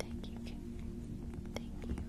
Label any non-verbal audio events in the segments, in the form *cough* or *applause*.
Thank you, Kim. Thank you. Thank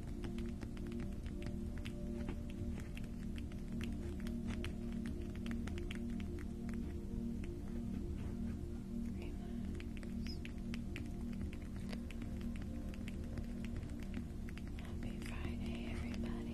Happy Friday, everybody.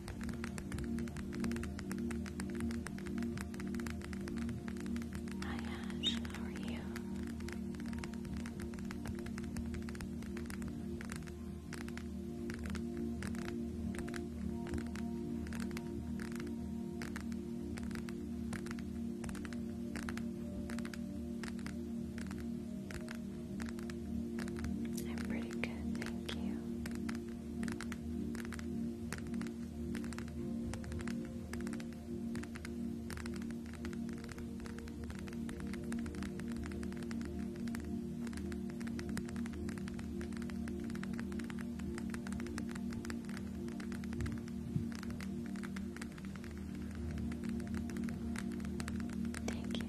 Hi Ash, how are you? I'm pretty good, thank you. Thank you,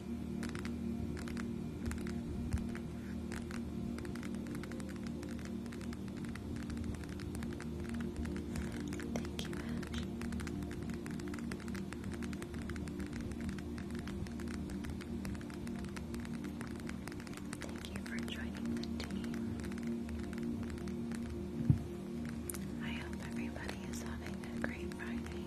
Thank you, Ash. Thank you for joining the team. I hope everybody is having a great Friday.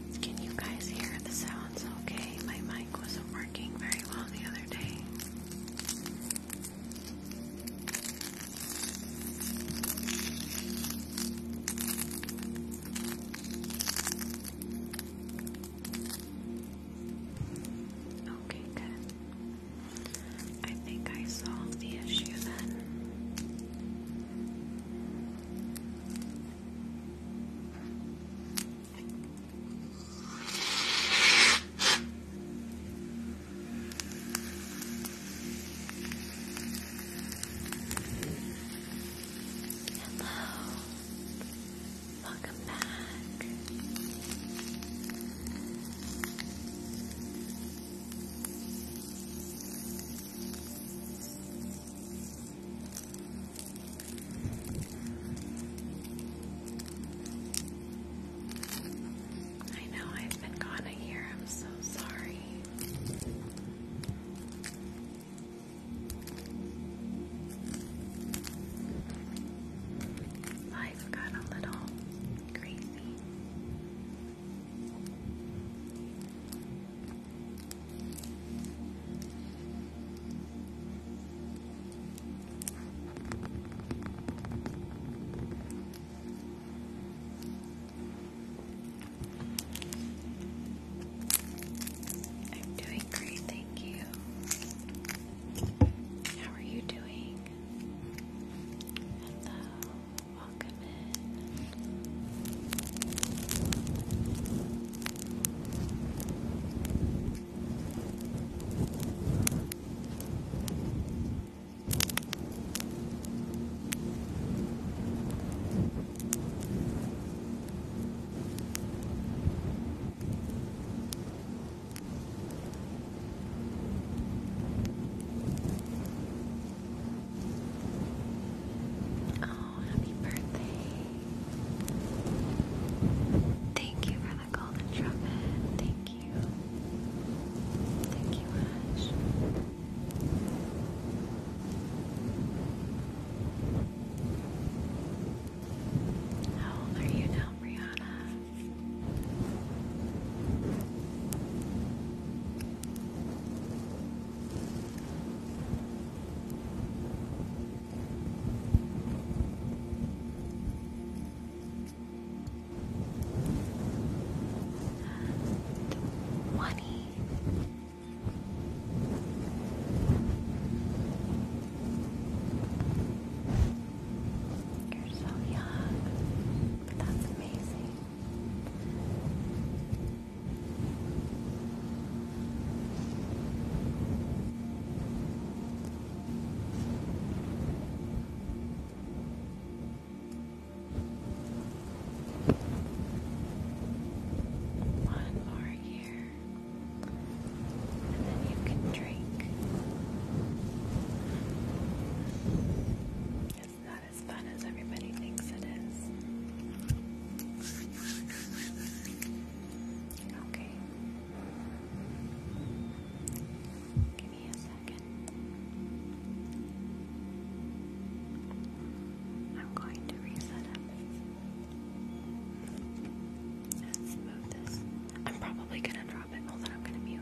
Can you guys hear the sounds okay? My mic wasn't working very well the other day. Okay, good. I think I solved the issue then. Hello, welcome back. I know I've been gone a year, I'm so sorry. Life got a little crazy. I'm doing great, thank you. How are you doing? welcome in. Oh, happy birthday. Thank you for the golden trumpet. Thank you. Thank you, Ash. How old are you now, Brianna? Twenty. You're so young. That's amazing. One more here, and then you can drink. It's not as fun as everybody thinks it is. Okay. Give me a second. I'm going to reset it. Let's move this. I'm probably going to drop it. Hold on, I'm going to mute.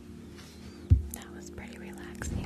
That was pretty relaxing.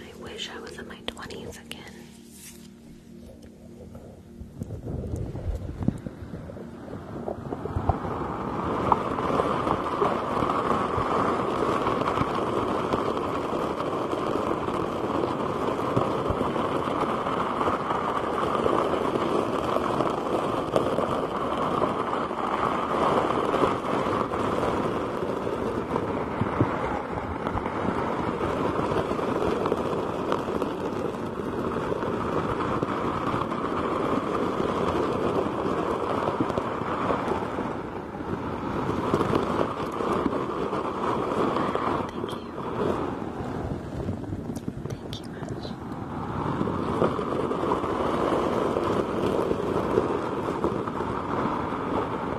I wish I was in my 20s again. Thank you, Ash. Thank you,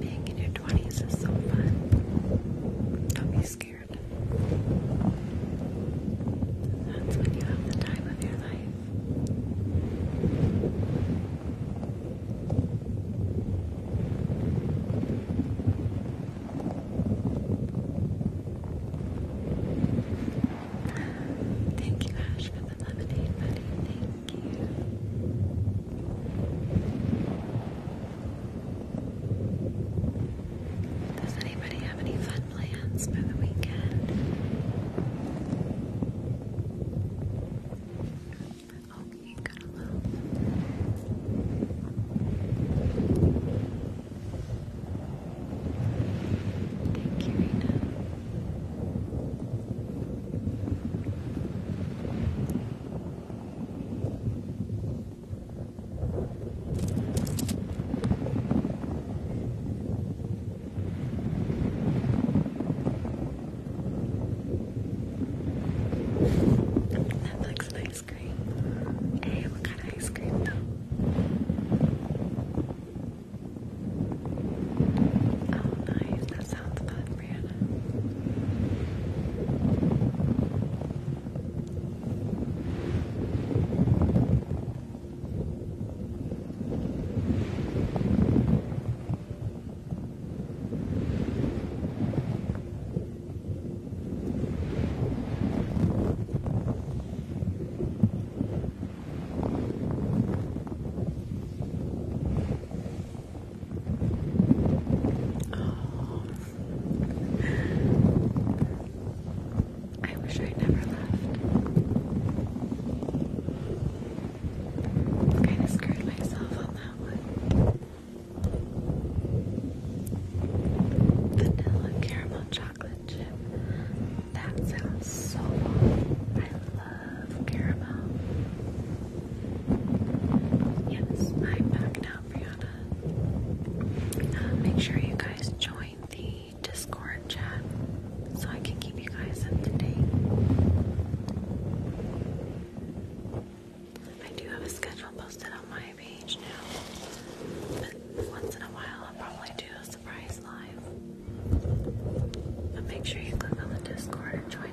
Being in your 20s is so fun. Don't be scared. That's when you have the time of your life. Thank you, Ash, for the lemonade, buddy. Thank you. Does anybody have any fun plans for the weekend? Oh, you Thank you, Rena. ice cream. Hey, what kind of ice cream though? Oh, nice. That sounds fun, Brianna. I wish I'd never left. kind of scared myself on that one. Vanilla caramel chocolate. That sounds so bomb. I love caramel. Yes, I'm back now, Brianna. Uh, make sure you guys join the Discord chat so I can keep you guys up to date. I do have a schedule posted on my page now, but once in a while I'll probably do a surprise live. But make sure you click on the Discord and join it.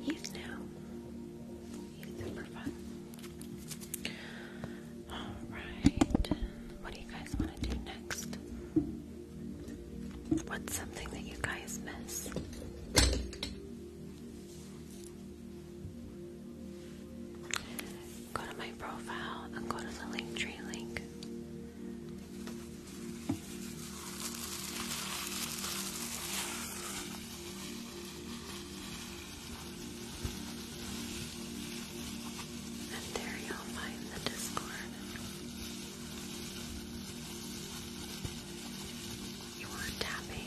Eve now. He's super fun. Alright, what do you guys want to do next? What's something that you guys miss? Go to my profile and go to the Linktree link. And there you'll find the Discord. You are tapping.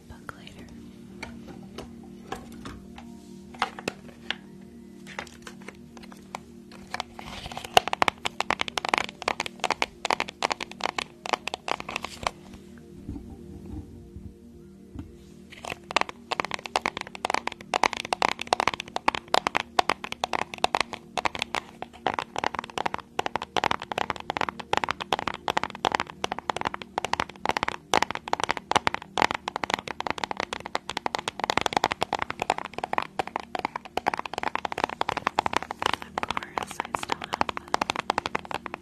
the book later. Of course, I still have them.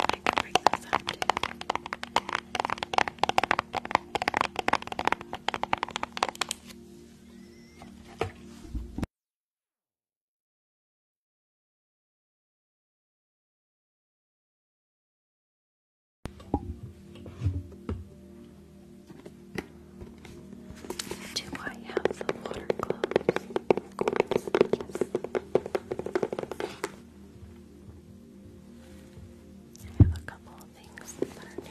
I can bring those up too. Do I have the water gloves? yes. I have a couple of things that are new.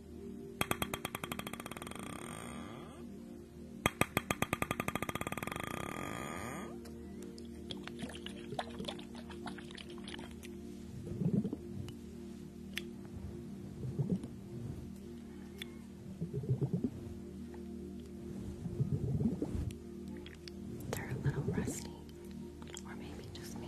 They're a little rusty, or maybe just me.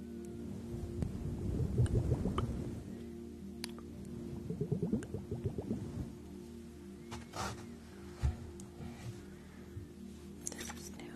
This is new.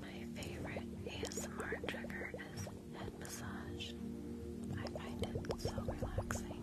My favorite ASMR trigger is head massage. I find it so relaxing.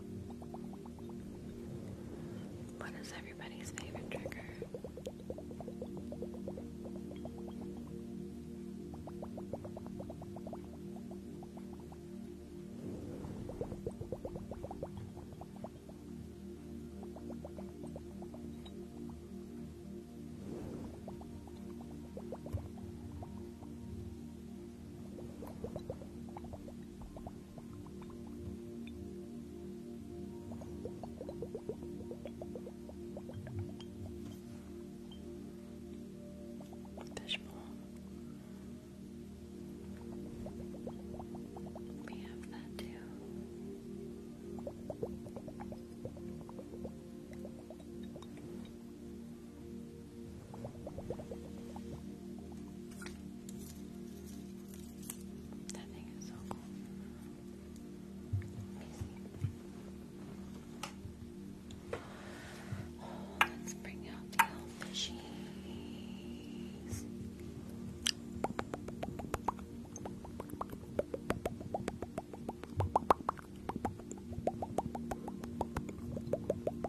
What is everybody's favorite trigger? What Fishbowl. We have that too. That thing is so cool. Oh, let's bring out the old cheese. All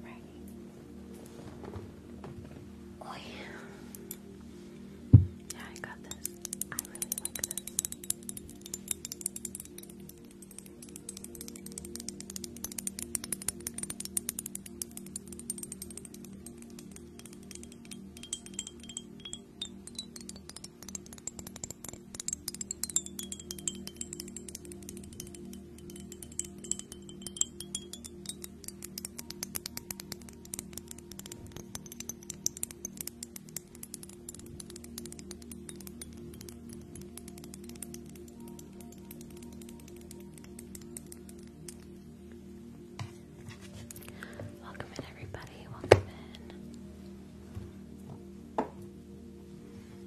Alrighty. Oh Yeah, I got this. I really like this. Welcome in, everybody. Welcome in.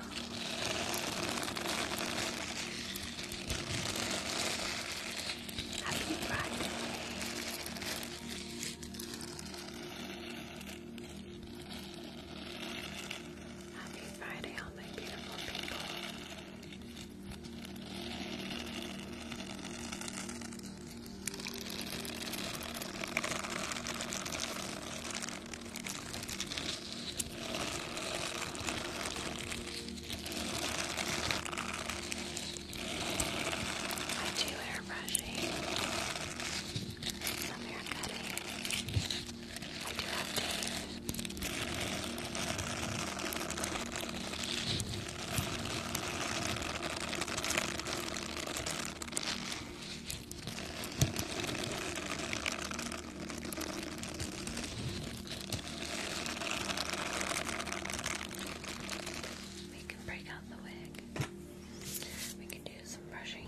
Happy Friday. Happy Friday, all my beautiful people. I do hair brushing. Some hair cutting. I do have teeth. We can break out the wig. We can do some brushing.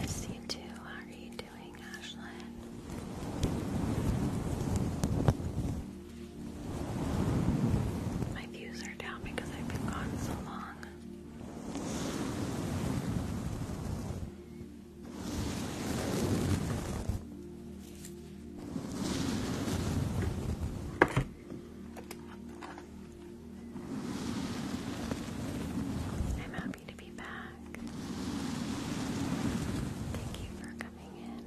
Miss you too. How are you doing, Ashlyn? My views are down because I've been gone so long. I'm happy to be back. Thank you for coming in.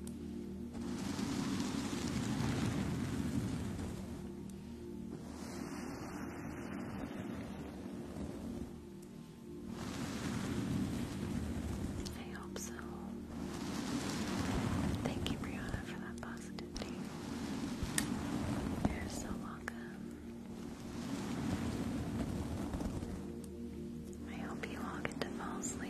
I hope so. Thank you, Brianna, for that positivity. You're so welcome. I hope you all get to fall asleep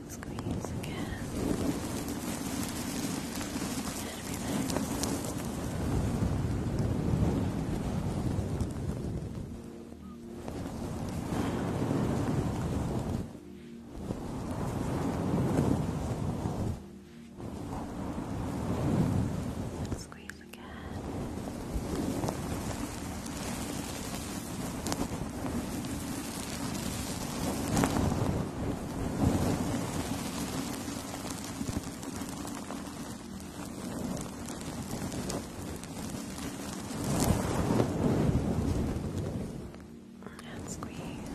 And squeeze again. And relax. squeeze again. And squeeze. Good.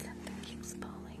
Something keeps falling.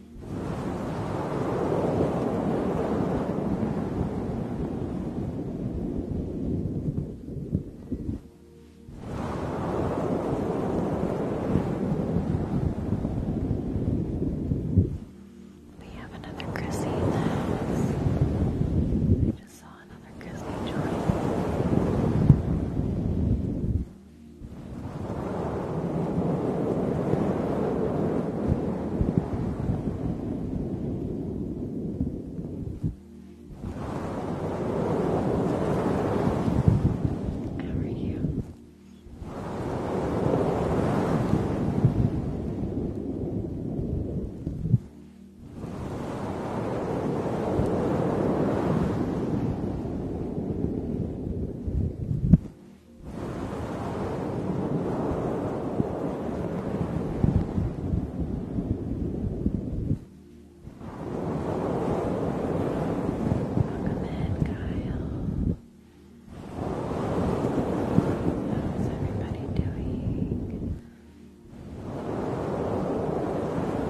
We have another Chrissy in the house. I just saw another Chrissy join. How are you? Good. Welcome in, Kyle. How's everybody doing? Welcome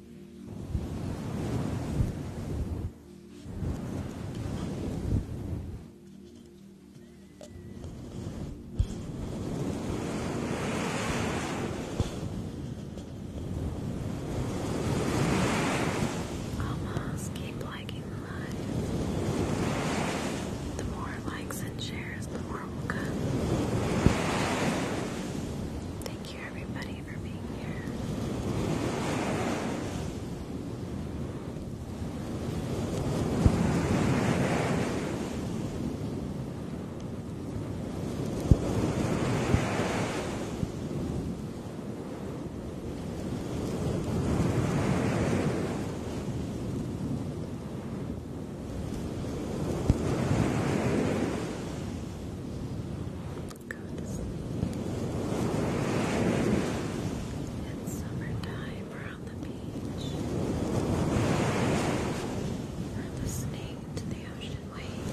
Almost keep liking the more likes and shares, the more will come. Thank you, everybody, for being here. Go to It's summertime, we're the beach. We're listening the ocean waves.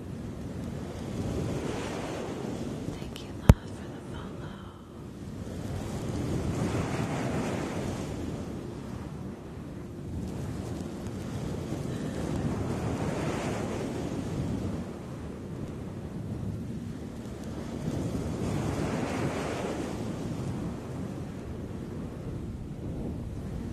Thank you, love, for the follow.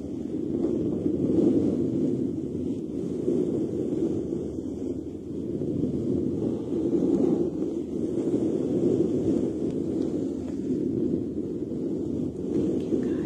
Thank you, Kyle.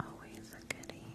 Always a goodie.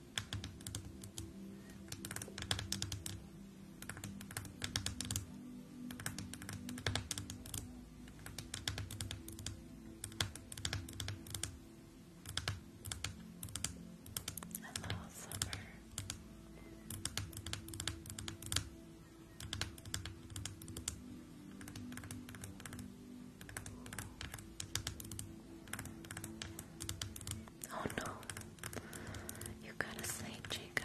Hello, summer. Oh no. You gotta sleep, Jacob.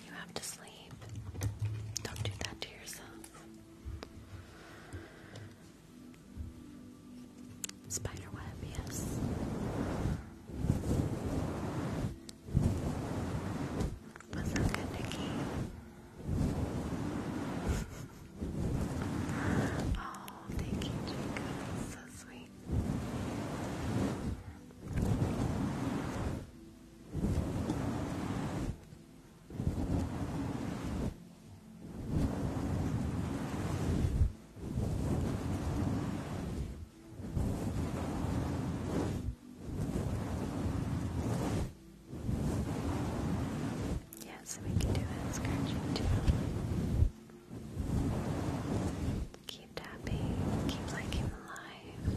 You have to sleep. Don't do that to yourself. Spider web, yes. What's up, good Nikki? oh, thank you, Jacob. so sweet. Yes, we can do that scratching too. Keep tapping, keep liking the live.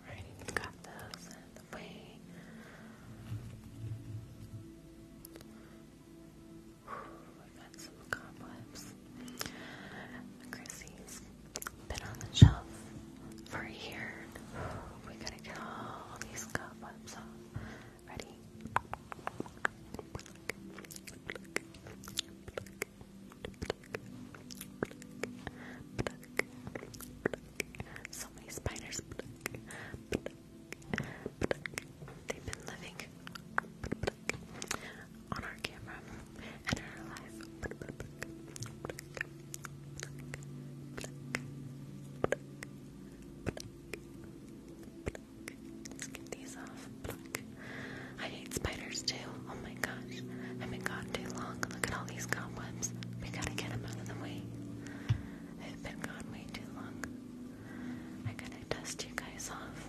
Alright, we got those out the way. i got some cobwebs. Chrissy's been on the shelf for here. We gotta get all these cobwebs off. Ready? So many spiders. They've been living on our camera and our life pluck, pluck, get these off. I hate spiders too. Oh my gosh. I've been gone too long. Look at all these cobwebs. We gotta get them out of the way. I've been gone way too long. I gotta dust you guys off.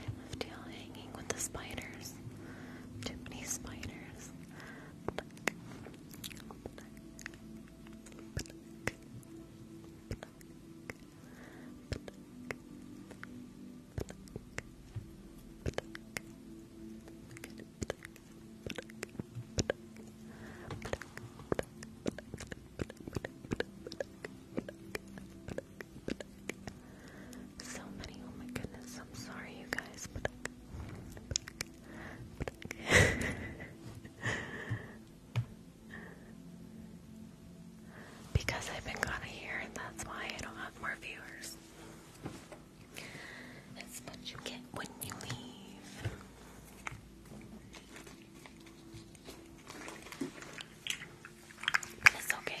I left y'all hanging with the spiders. Too many spiders. So many, oh my goodness, I'm sorry you guys, *laughs* because I've been gone a year, that's why I don't have more viewers. It's what you get when you leave. it's okay.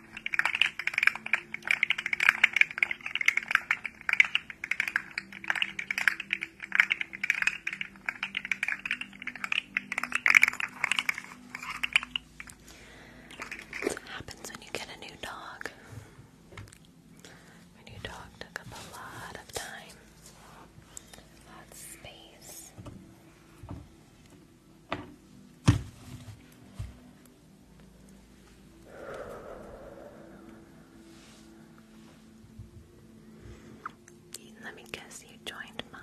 What happens when you get a new dog? My new dog took up a lot of time, lots of space. Let me guess you joined mine.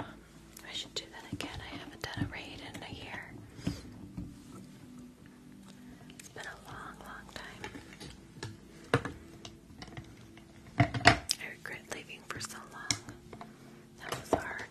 I should do that again. I haven't done a raid in a year. It's been a long, long time. I regret leaving for so long. That was hard.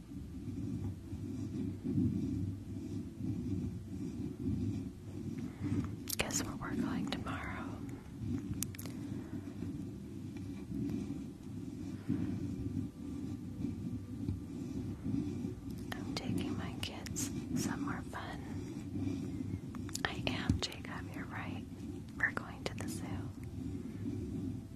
Guess where we're going tomorrow? I'm taking my kids some more fun. I am, Jacob, you're right. We're going to the zoo. They're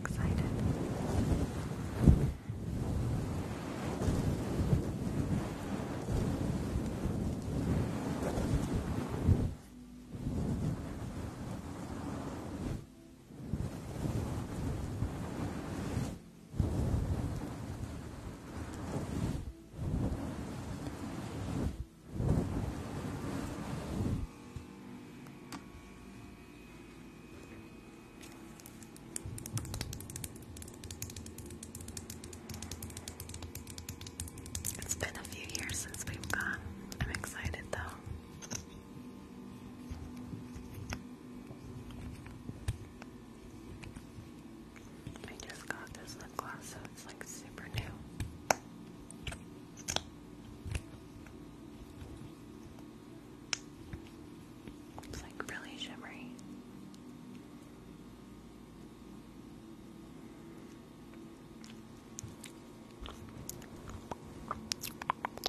excited. They're it's been a few years since we've gone. I'm excited though. I just got this lip gloss, so it's like super new. It's like really shimmery.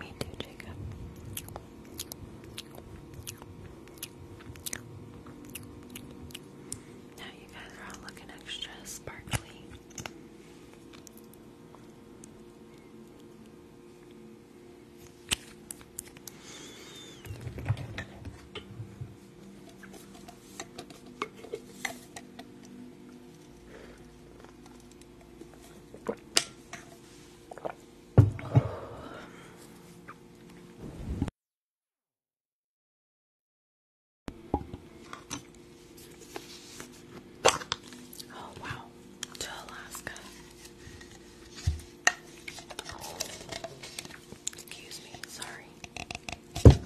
Me too, Jacob. Now you guys are all looking extra sparkly. Oh, wow, to Alaska. Excuse me, sorry.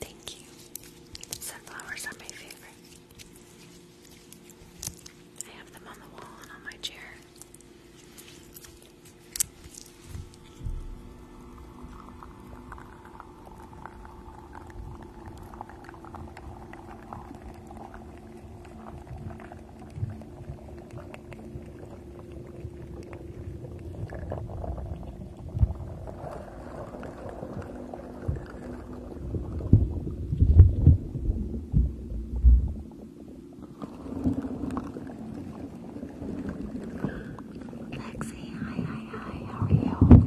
Thank you. Sunflowers are my favorite. I have them on the wall and on my chair. Lexi, hi, hi, hi, how are you?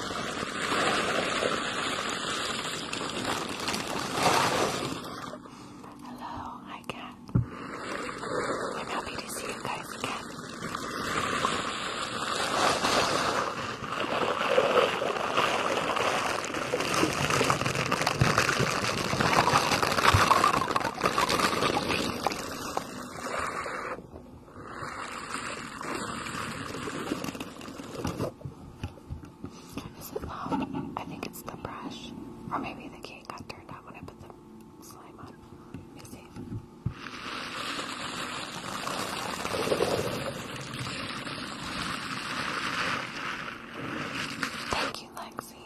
Hello, hi Kat. I'm happy to see you guys again. Is it um, I think it's the brush, or maybe the cake got turned out when I put the slime on. Let see. Thank you, Lexi.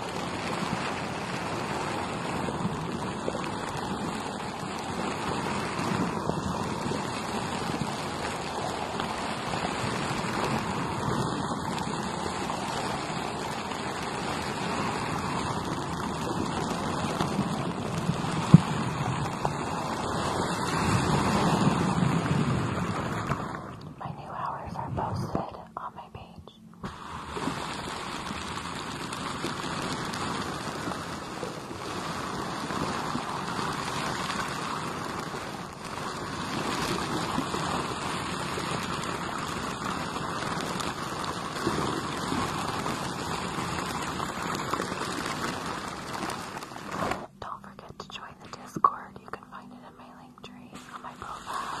My new hours are posted on my page. Don't forget to join the Discord. You can find it in my link tree on my profile.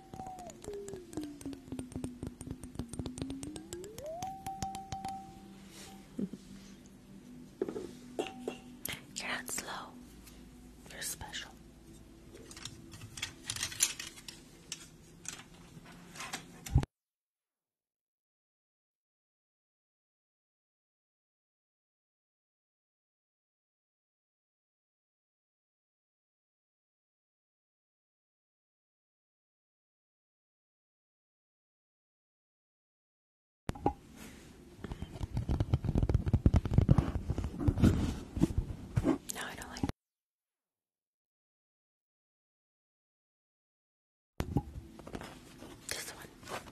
*laughs* You're not slow. You're special. No, I don't like that. This one.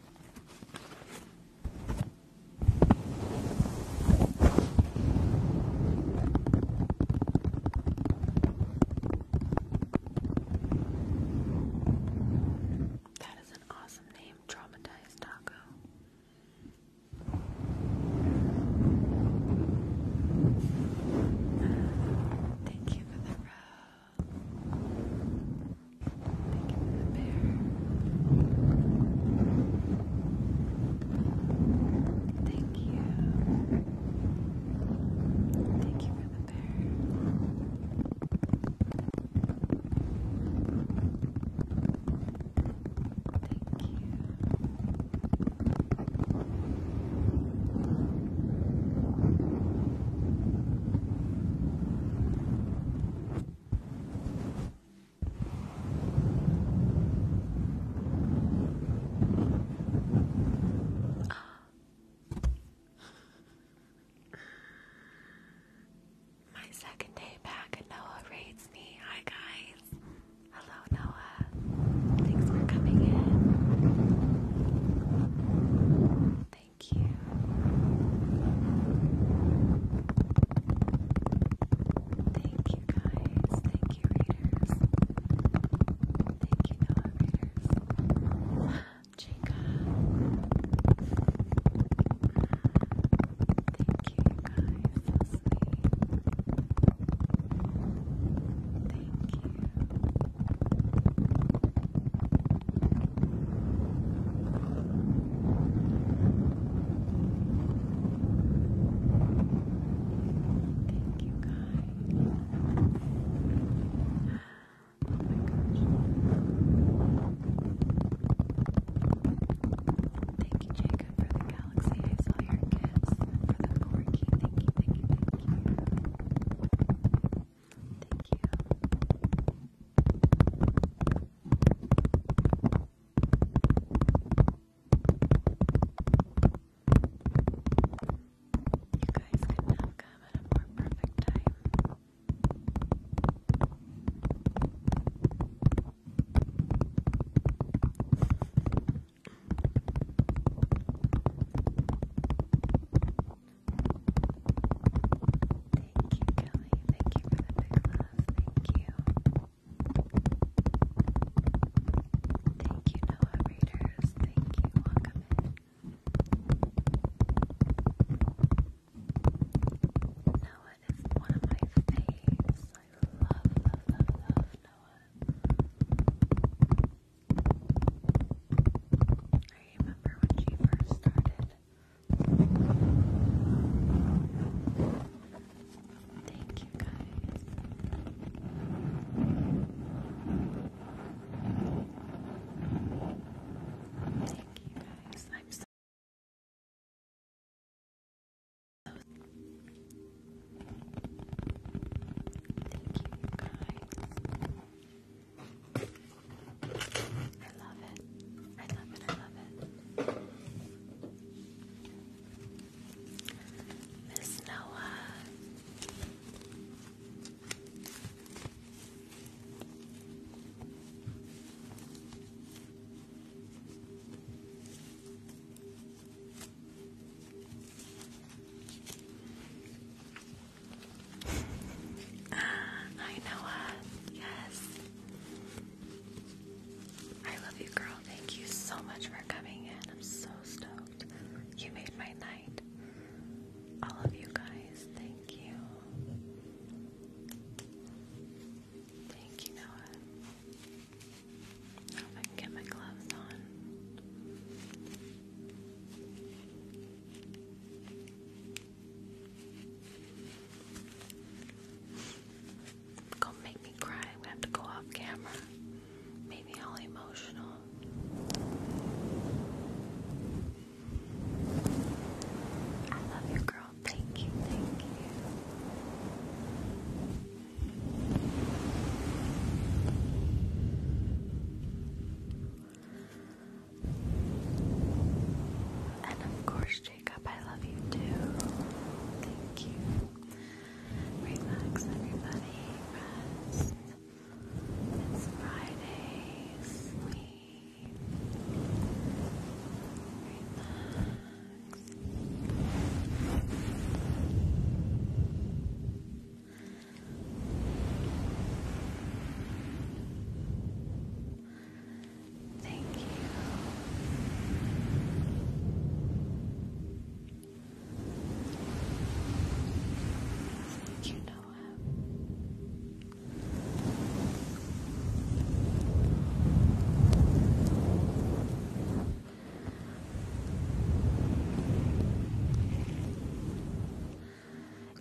That is an awesome name, Traumatized Taco. Thank you for the rose. Thank you for the bear. Thank you. Thank you for the bear. Thank you. My second day back, Noah raids me. Hi, guys. Hello, Noah. Thanks for coming in. Thank you. Thank guys. Thank you, readers. Thank you, Noah readers. Jacob. Thank you, guys. So Thank you, Thank you guys. Oh my gosh. Thank you, Jacob, for the galaxy. I saw your gifts for the corky. Thank thank you, thank you. Thank you. Thank you. You guys could not come at a more perfect time. Thank you, Kelly. Thank you for the big love. Thank you. Thank you, Noah Readers. Thank you. Welcome in. Noah is one of my faves. I love, love, love, love Noah. I remember when she first started. Thank you guys. Thank you guys. I'm so Thank you guys. I love it. I love it. I love it. Miss Noah. ah, I know, yes. I love you, girl thank you so much for coming in. I'm so stoked. You made my night. All of you guys, thank you. Thank you, Noah. I hope I can get my gloves on gonna make me cry. i have to go off camera. Make me all emotional. I love you, girl. Thank you, thank you. And of course, Jacob, I love you too. Thank you. Relax, everybody. Rest. It's Friday. Sleep. Relax. Thank you so that you know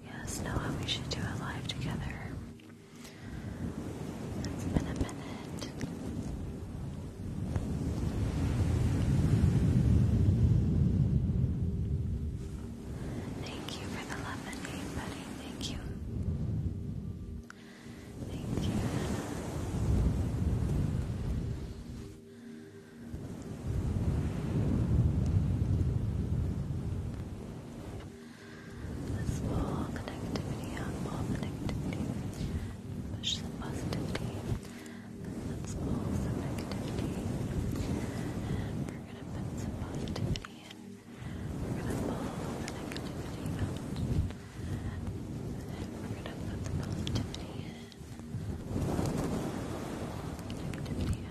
Yes, Noah, we should do a live together. It's been a minute. Thank you for the lemonade, buddy. Thank you. Thank you. Let's connectivity all connectivity push some positivity. And let pull some negativity. And we're gonna put some positivity in. We're gonna pull the negativity out. And we're gonna put the positivity in. Negativity out.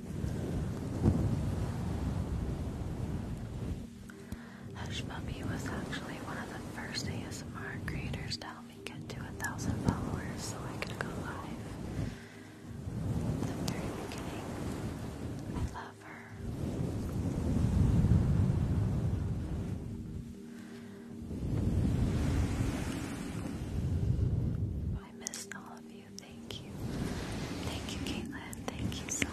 Hush Puppy was actually one of the first ASMR creators to help me get to a thousand followers so I could go live. the very beginning, I love her. I missed all of you thank you. Thank you, Caitlin. Thank you so much.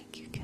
Thank you, Kelly.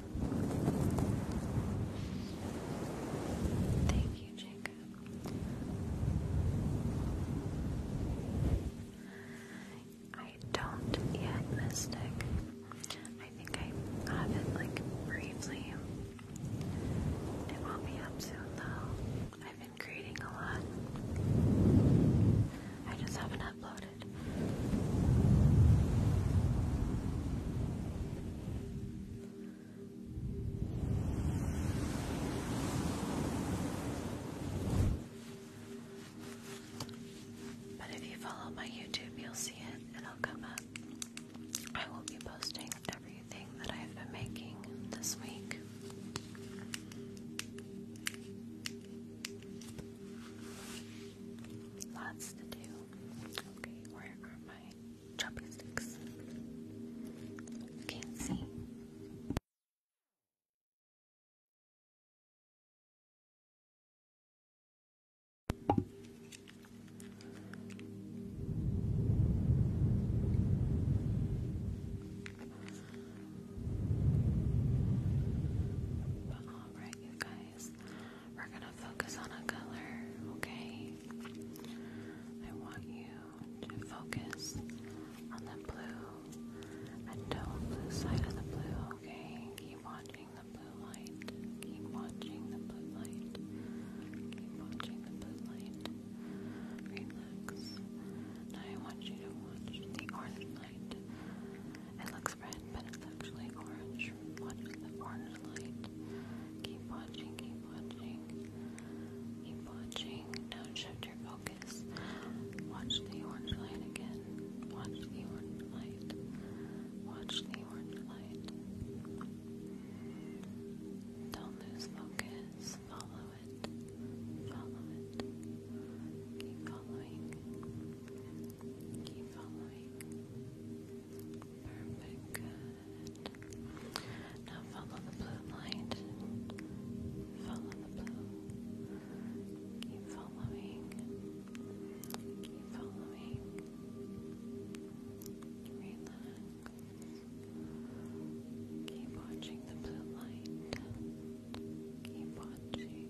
Thank you, Jacob. I don't yet, Mystic. I think I have it like briefly. It won't be up soon though. I've been creating a lot. I just haven't uploaded but if you follow my YouTube, you'll see it. It'll come up. I will be posting everything that I've been making this week. Lots to do. Okay, where are my chopsticks? Can't see. alright, you guys, we're gonna focus on a color, okay? I want you to focus on the blue and don't lose sight of the blue, okay? Keep watching the blue light. Keep watching the blue light. Keep watching the blue light. Relax. Now I want you to watch the orange light. It looks is red, but it's actually orange. Watch the orange light. Keep watching, keep watching, keep watching. Now shift your focus. Watch the orange light again. Watch the orange light. Watch the orange light. Don't lose focus. Follow it. Follow it. Keep following. Keep following. Perfect, good. Now follow the blue light. Follow the blue. Keep following. Keep following. Keep watching the blue light. Keep watching.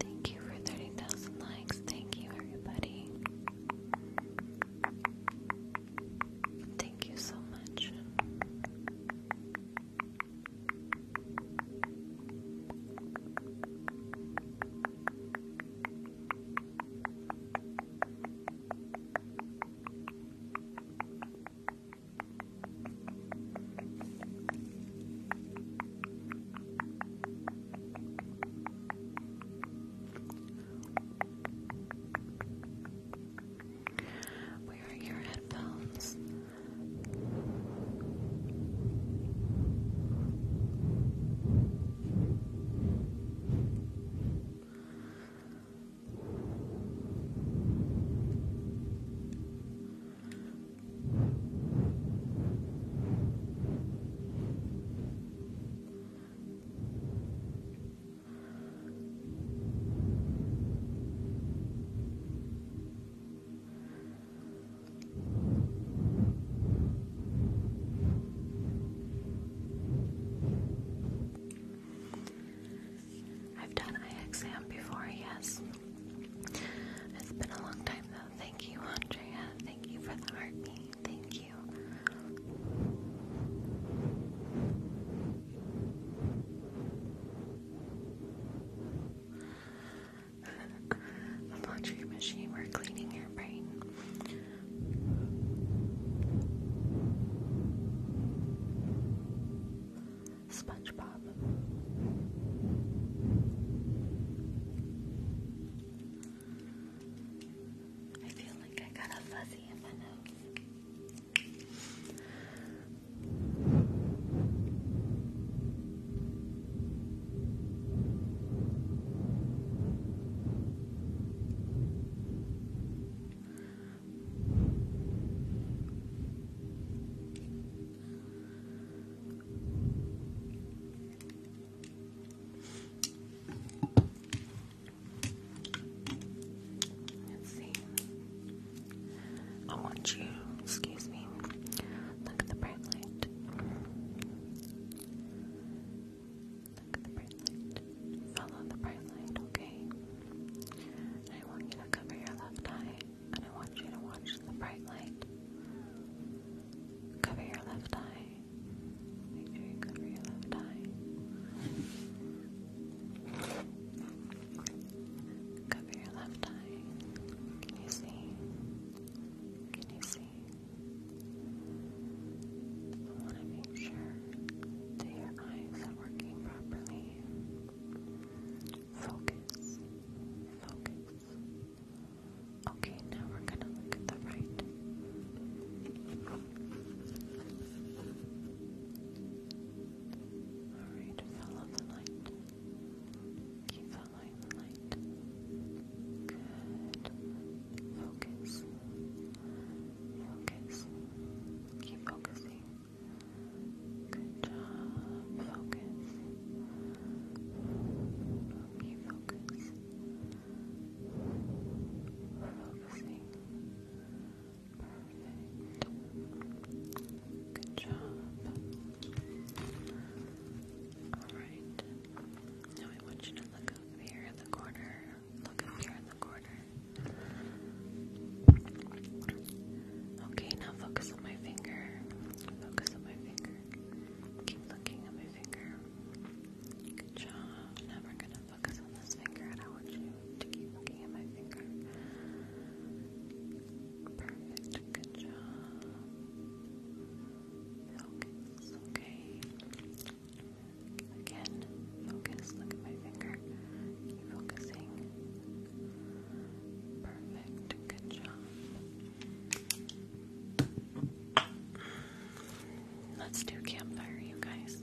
Thank you for 30,000 likes. Thank you, everybody. Thank you so much. Where are your headphones? I've done an exam before, yes. It's been a long time though. Thank you, Andrea. Thank you for the heartbeat. Thank you. laundry machine, we're cleaning your brain. SpongeBob. I feel like I got a fuzzy in my nose. Let's see. I want you, excuse me, look at the bright light. Look at the bright light. Follow the bright light, okay? I want you to cover your left eye, and I want you to watch the bright light. Cover your left eye. Make sure you cover your left eye. Cover your left eye. Can you see? Can you see? want to make sure that your eyes are working properly. Focus. Focus. Okay, now we're gonna look at the right. Alright, follow the light. Keep following the light. Good. Focus. Focus. Keep focusing. Good job. Focus. Okay, focus. Focusing. Good job. Alright. Now I want you to look up here in the corner. Look up here in the corner. Okay, now focus on my finger. Focus on my finger. Keep looking at my finger. Good job. Now gonna focus on this finger and I want you to keep looking at my finger. Perfect. Good job. Focus. Okay. Again, focus. Look at my finger. Keep focusing. Perfect. Good job. Let's do campfire, you guys.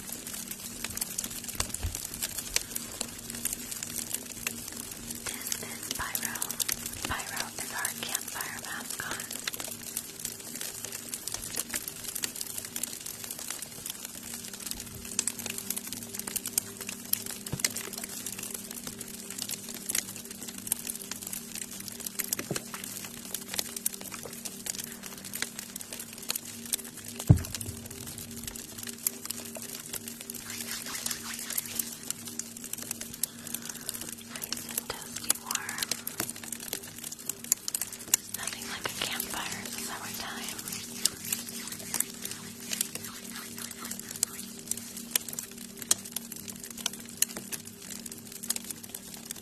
This is Pyro. Pyro is our campfire mascot. Nice and toasty warm. Nothing like a campfire in the summertime.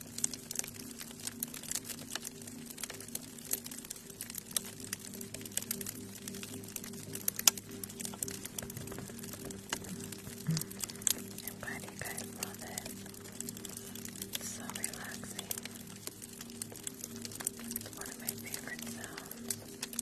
I'm glad you guys love it. It's so relaxing. It's one of my favorite sounds.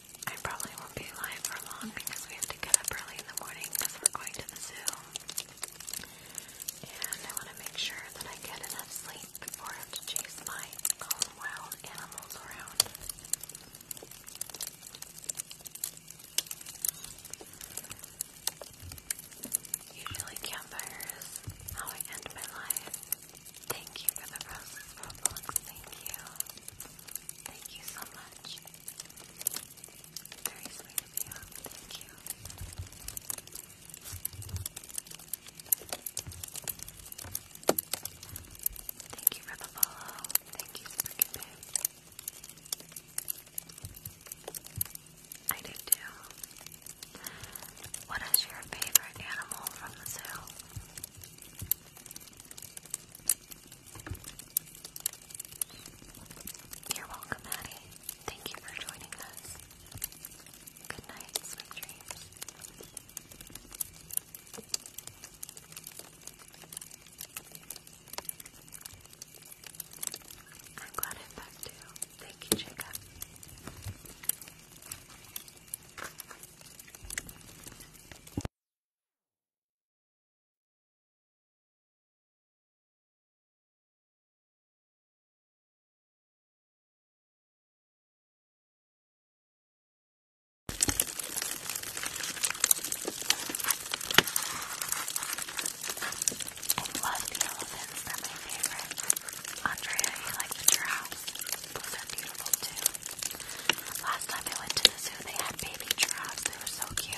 I probably won't be live for long because we have to get up early in the morning because we're going to the zoo. And I want to make sure that I get enough sleep before I have to chase my wild animals around. Usually campfires, how I end my life. Thank you for the roses, Roblox. Thank you. Thank you so much. Very sweet of you. Thank you. Thank you for the follow. Thank you, Supercupid. I do too. What is your favorite animal from the zoo? You're welcome, Addie. Thank you for joining us. Good night, sweet dreams. I'm glad i back too. Thank you, Jacob. I love the elephants. They're my favorite. Andrea, you like the giraffe? Those are beautiful too. Last time I went to the zoo, they had baby giraffes. They were so cute.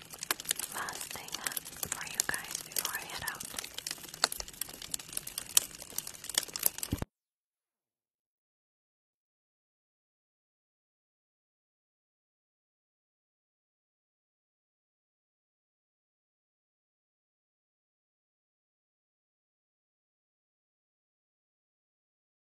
last thing for you guys before I head out.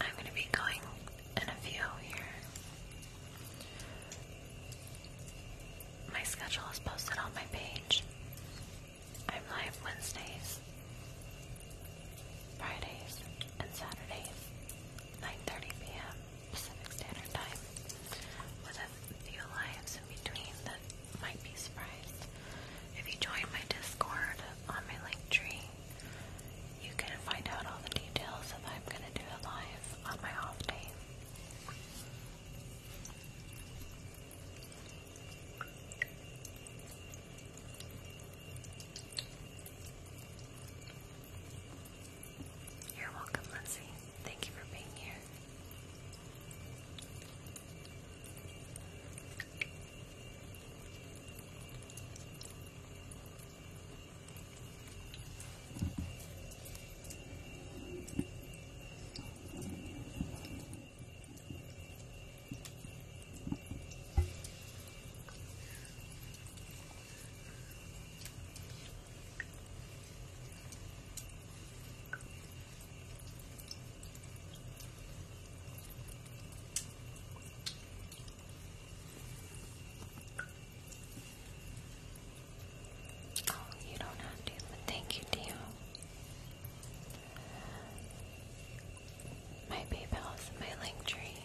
I'm going to be going in a few here. My schedule is posted on my page. I'm live Wednesdays, Fridays, and Saturdays, 9.30 p.m. Pacific Standard Time, with a few lives in between that might be surprised. If you join my Discord on my link tree, you can find out all the details if I'm going to do live on my off day. You're welcome, Lindsay. Thank you for being here. Oh, you don't have to, thank you, Dio. My PayPal is in my link tree.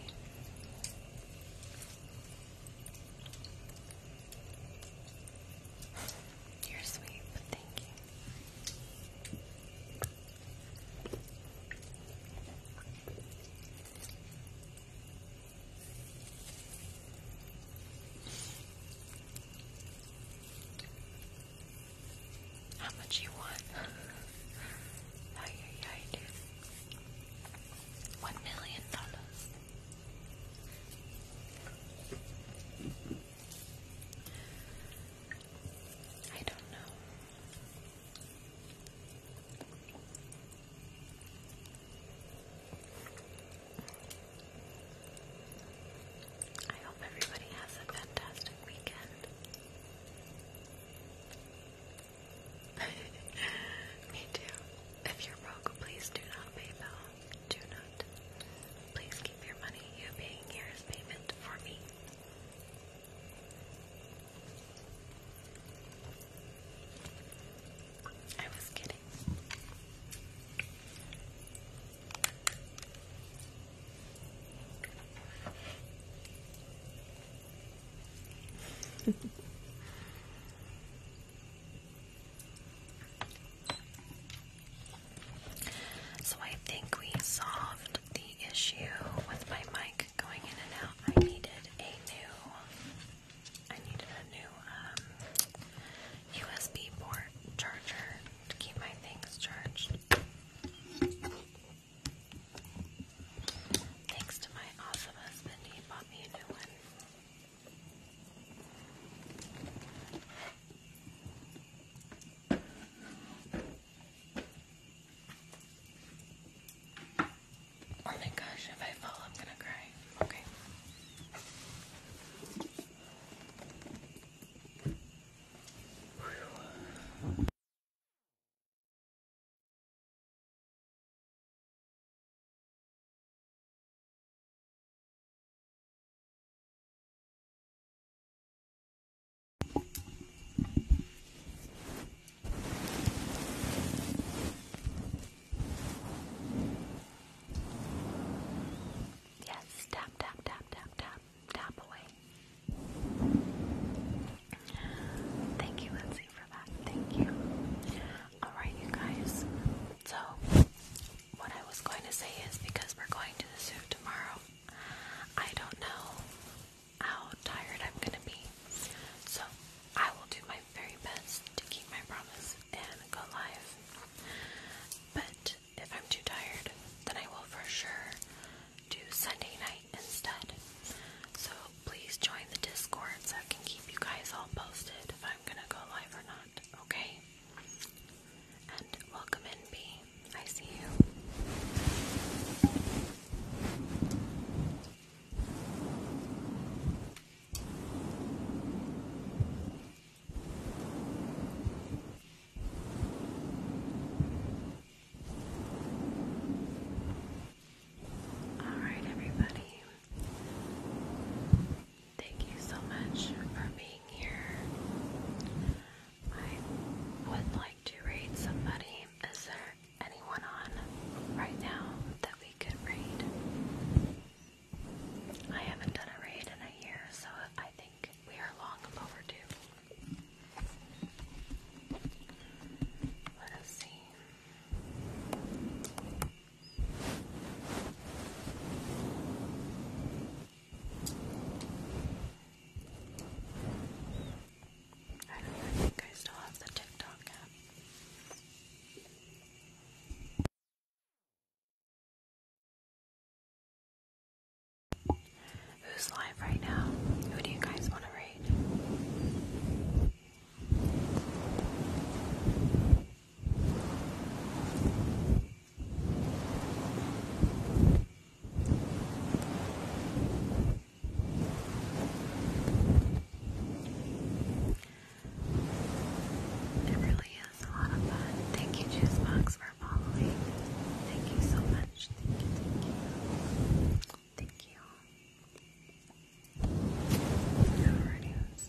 *laughs* You're sweet, thank you. How much you want? ay, ay, One million dollars. I don't know. I hope everybody has a fantastic weekend. *laughs* Me too. If you're broke, please do not PayPal. Do not. Please keep your money. You paying here is payment for me. I was kidding. *laughs* so I think we solved the issue with my mic going in and out. I needed a new I needed a new um, USB port charger to keep my things charged. Thanks to my awesome husband, he bought me a new one. Oh my gosh, if I fall, I'm gonna cry. Okay. Yes, tap, tap, tap, tap, tap tap, away. Thank you, Lindsay, for that. Thank you. Alright, you guys. So, what I was going to say is because we're going to the zoo tomorrow, I don't know how tired I'm going to be. So, I will do my very best to keep my promise and go live. But if I'm too tired, then I will for sure do Sunday night instead. So please join the Discord so I can keep you guys all posted if I'm gonna go live or not, okay? And welcome in, B. I see you. Alright, everybody. Thank you so much for being here. I would like to read somebody. Is there anyone on right now that we could read? I haven't done a read in a year, so I think we are long overdue. Let us see. I don't think I still have the TikTok app. Who's live right now? Who do you guys want to read? It really is a lot of fun. Thank you, Juicebox, for following. Thank you so much. Thank you, thank you. you. Alrighty, let's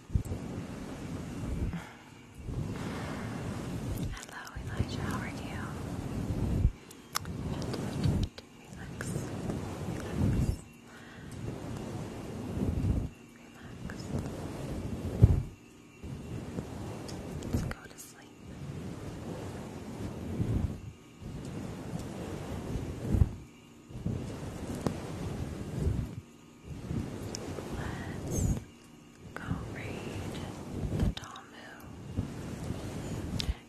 Hello, Elijah. How are you? Relax. Relax. Let's go to sleep. Let's go read the Talmud.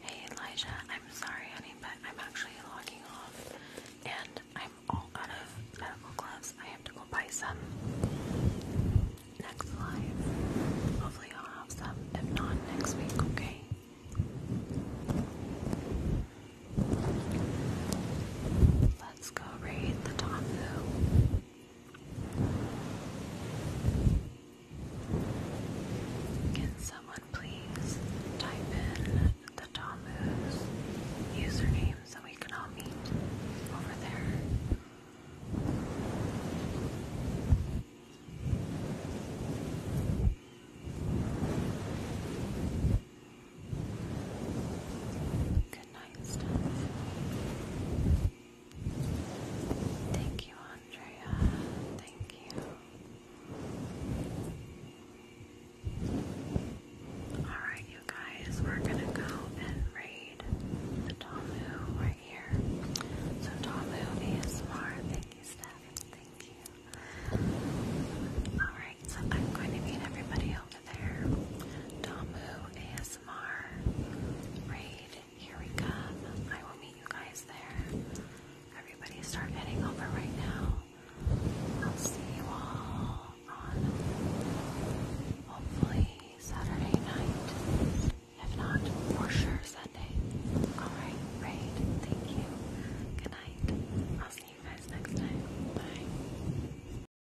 Hey Elijah, I'm sorry honey, but I'm actually logging off and I'm all out of medical gloves. I have to go buy some next live. Hopefully I'll have some. If not, next week, okay? let's go raid the Tombu. Can someone please type in the Tombu's username so we can all meet over there? Good night, stuff. Thank you, Andrea. Thank you. Alright, you guys, we're gonna go and raid Tomu right here. So, Tomu ASMR, thank you, Steph. Thank you. Alright, so I'm going to meet everybody over there. Tomu ASMR. ASMR raid. Here we come. I will meet you guys there. Everybody start heading over right now. I'll see you all on hopefully Saturday night. If not, for sure Sunday. Alright, raid. Thank you. Good night. I'll see you guys next time. Bye.